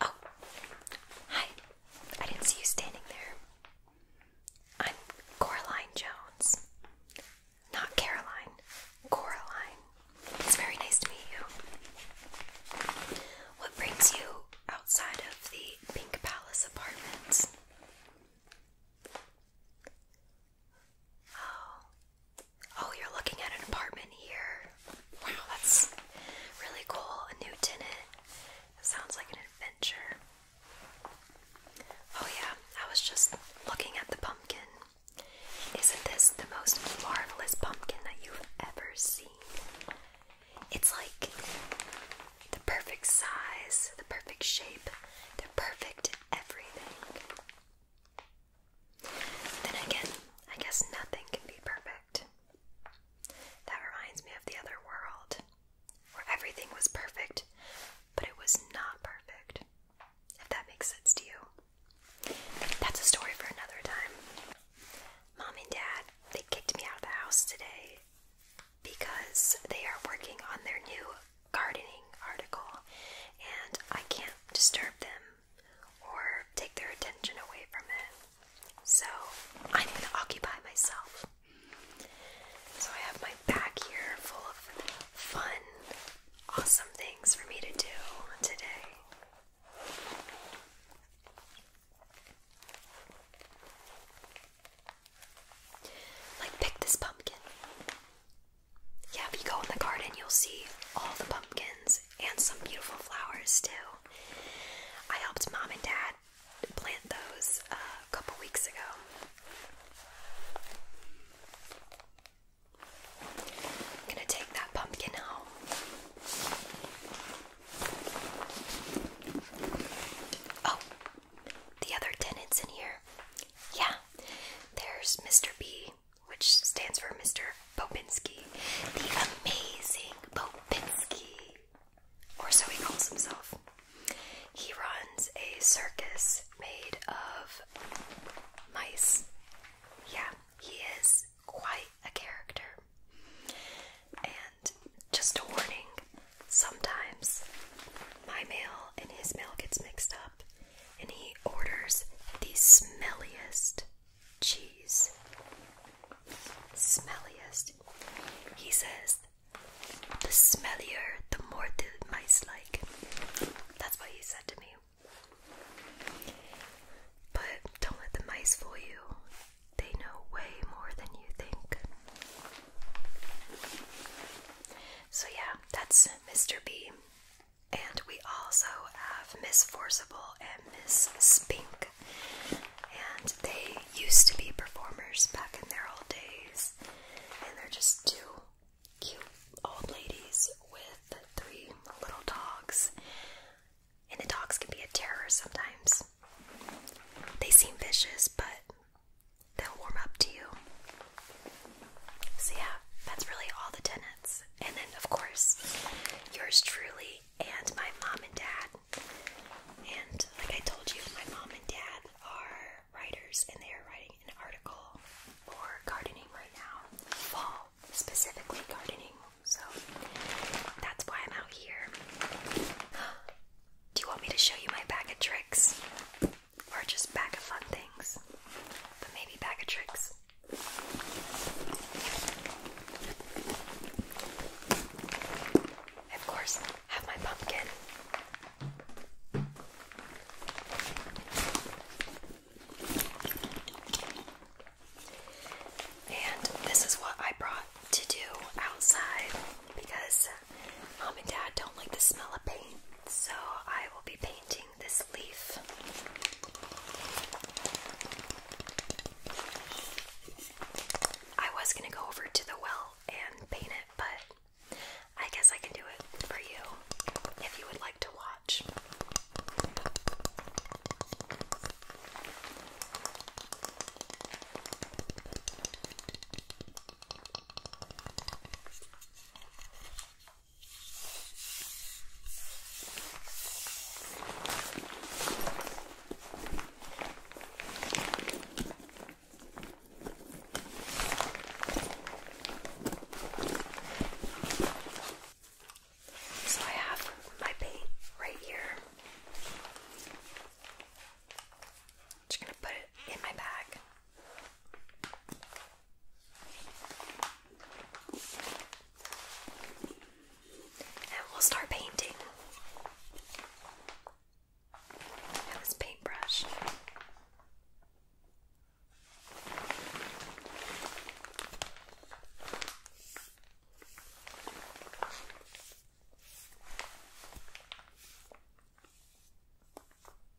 Oh, hi. I didn't see you standing there. I'm Coraline Jones. Not Caroline. Coraline. It's very nice to meet you. What brings you outside of the Pink Palace apartments? Oh. Oh, you're looking at an apartment here. Wow, that's really cool. A new tenant. sounds like an adventure. Oh, yeah, I was just looking at the pumpkin. Isn't this the most marvelous pumpkin that you've ever seen? It's like the perfect size, the perfect shape, the perfect everything. Then again, I guess nothing can be perfect. That reminds me of the other world, where everything was perfect, but it was not perfect. If that makes sense to you. That's a story for another time. Mom and Dad, they kicked me out of the house today because they are working on their new gardening article and I can't disturb them or take their attention away from it. So i need to occupy myself. So I have my bag here full of fun, awesome things for me to do today. Like pick this pumpkin. Yeah, if you go in the garden, you'll see all the pumpkins and some beautiful flowers too. I helped mom and dad plant those a couple weeks ago. gonna take that pumpkin home. Oh, the other tenants in here. Yeah, there's Mr. B which stands for Mr. Popinski, the amazing Popinski, or so he calls himself. He runs a circus made of mice. Yeah, he is quite a character. And just a warning sometimes my mail and his mail gets mixed up, and he orders the smelliest cheese. Smelliest. He says, the smellier, the more the mice like. That's what he said to me. But don't let the mice fool you. They know way more than you think. So, yeah, that's Mr. B. And we also have Miss Forcible and Miss Spink. And they used to be performers back in their old days. And they're just two cute old ladies with three little dogs. And the dogs can be a terror sometimes. They seem vicious, but they'll warm up to you. So, yeah, that's really all the tenets and then, of course, yours truly, and my mom and dad. And like I told you, my mom and dad are writers, and they are writing an article for gardening right now, fall, specifically gardening. So that's why I'm out here. Do you want me to show you my bag of tricks? Or just bag of fun things? But maybe bag of tricks. Of course, have my pumpkin. And this is what I brought to do outside because mom and dad don't like the smell of paint. So I will be painting this leaf. I was going to go over to the well and paint it, but I guess I can do it for you if you would like to watch. So I have my paint right here. I'm just going to put it in my bag. And we'll start painting. That paintbrush.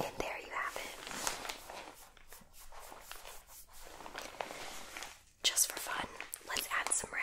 And there you have it. Just for fun, let's add some red.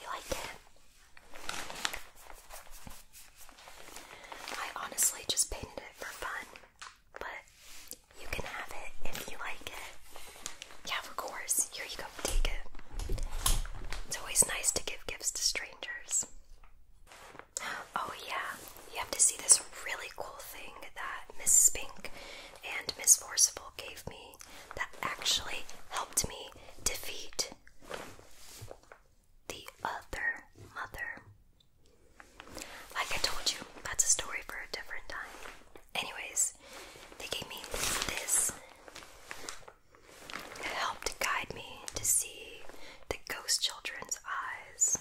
You like it? I honestly just painted it for fun, but you can have it if you like it. Yeah, of course. Here you go, take it. It's always nice to give gifts to strangers. Oh, yeah, you have to see this really cool thing that Miss Spink and Miss Forcible gave me that actually helped me defeat the other mother. Like I told you, that's a story for a different time. Anyways, they gave me this. It helped guide me to see the ghost children's eyes.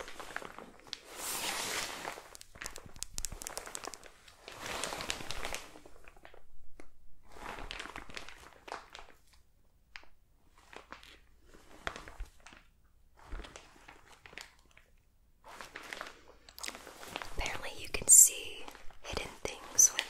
Apparently, you can see hidden things with it.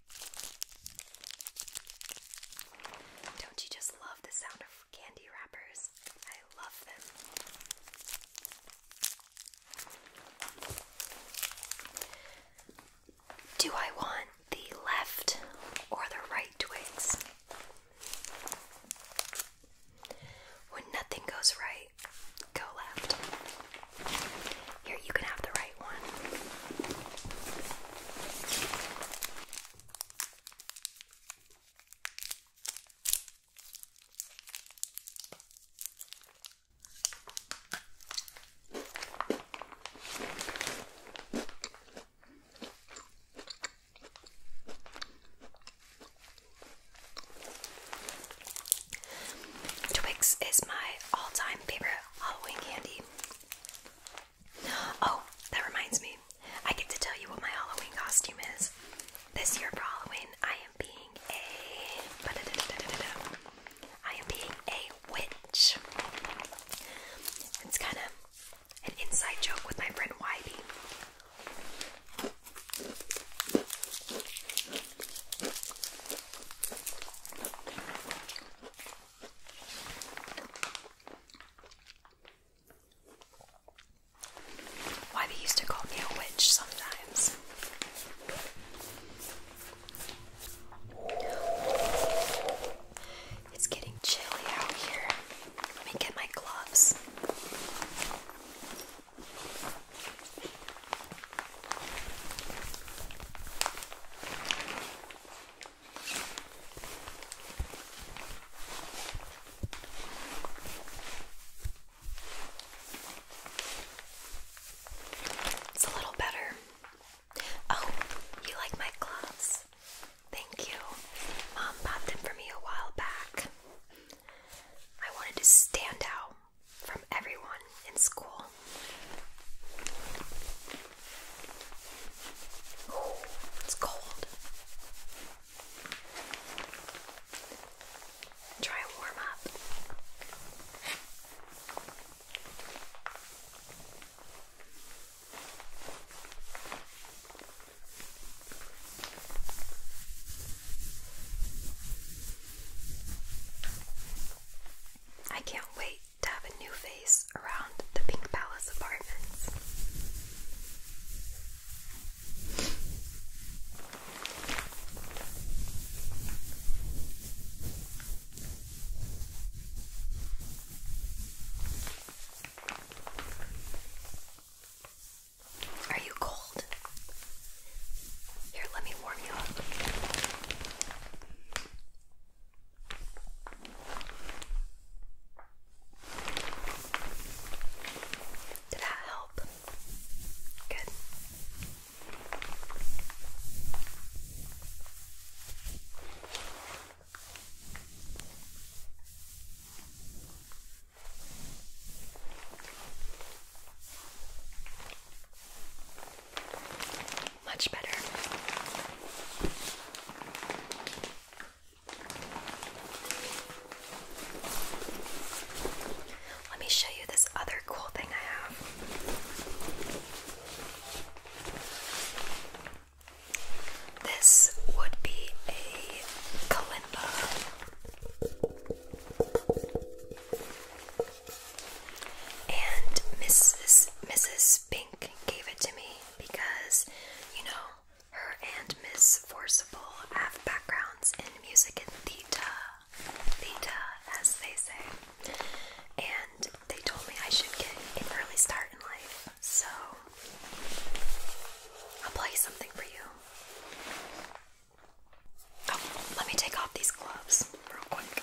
Don't you just love the sound of candy wrappers? I love them. Do I want the left or the right twigs? When nothing goes right, go left. Here, you can have the right one. Twix is my all-time favorite Halloween candy. Oh, that reminds me. I get to tell you what my Halloween costume is. This year for Halloween, I am being a. I am being a witch. It's kind of an inside joke with my friend Whitey. Why they used to call me a witch sometimes. It's getting chilly out here. Let me get my gloves. It's a little better. Oh, you like my gloves? Thank you. Mom bought them for me a while back. I wanted to stand out from everyone in school it's cold. Try a warm up. I can't wait to have a new face around the Pink Palace apartments. Are you cold? Here, let me warm you up. Did that help? Good. Much better. Let me show you this other cool thing I have. This would be a kalimba. And Mrs. Mrs. Pink gave it to me because, you know, her and Miss Forcible have backgrounds in music and theta, theta, as they say. And they told me I should get an early start in life, so I'll play something for you. Oh, let me take off these gloves real quick.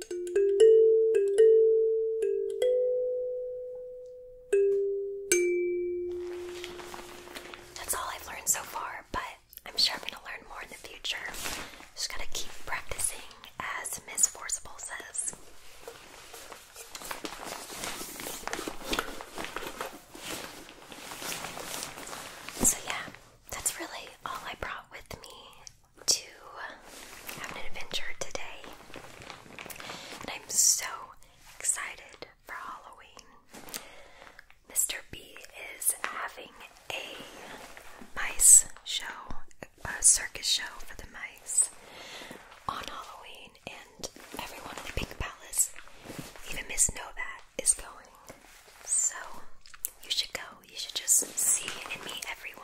That's all I've learned so far, but I'm sure I'm going to learn more in the future. Just got to keep practicing, as Miss Forcible says. So, yeah, that's really all I brought with me to have an adventure today, and I'm so excited for Halloween. Mr. B is having a mice show, a circus show for the mice on Halloween, and everyone in the Pink Palace, even Miss Novat, is going. So, you should go. You should just see and meet everyone.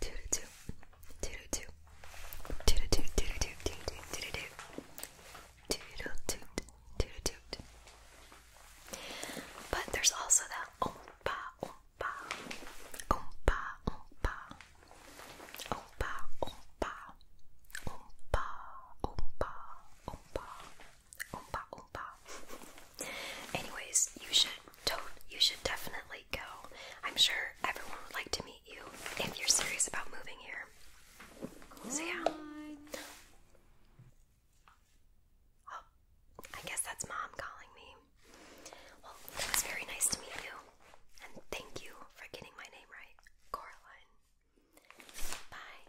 do do do do do do do do do do do do do do do do do But there's also that oompa oompa oompa oompa oompa oompa oompa oompa oompa oompa oompa. Anyways, you should don't you should definitely go. I'm sure everyone would like to meet you if you're serious about moving here. So, yeah. Oh, I guess that's mom calling me. Well, it was very nice to meet you. And thank you for getting my name right, Coraline. Bye.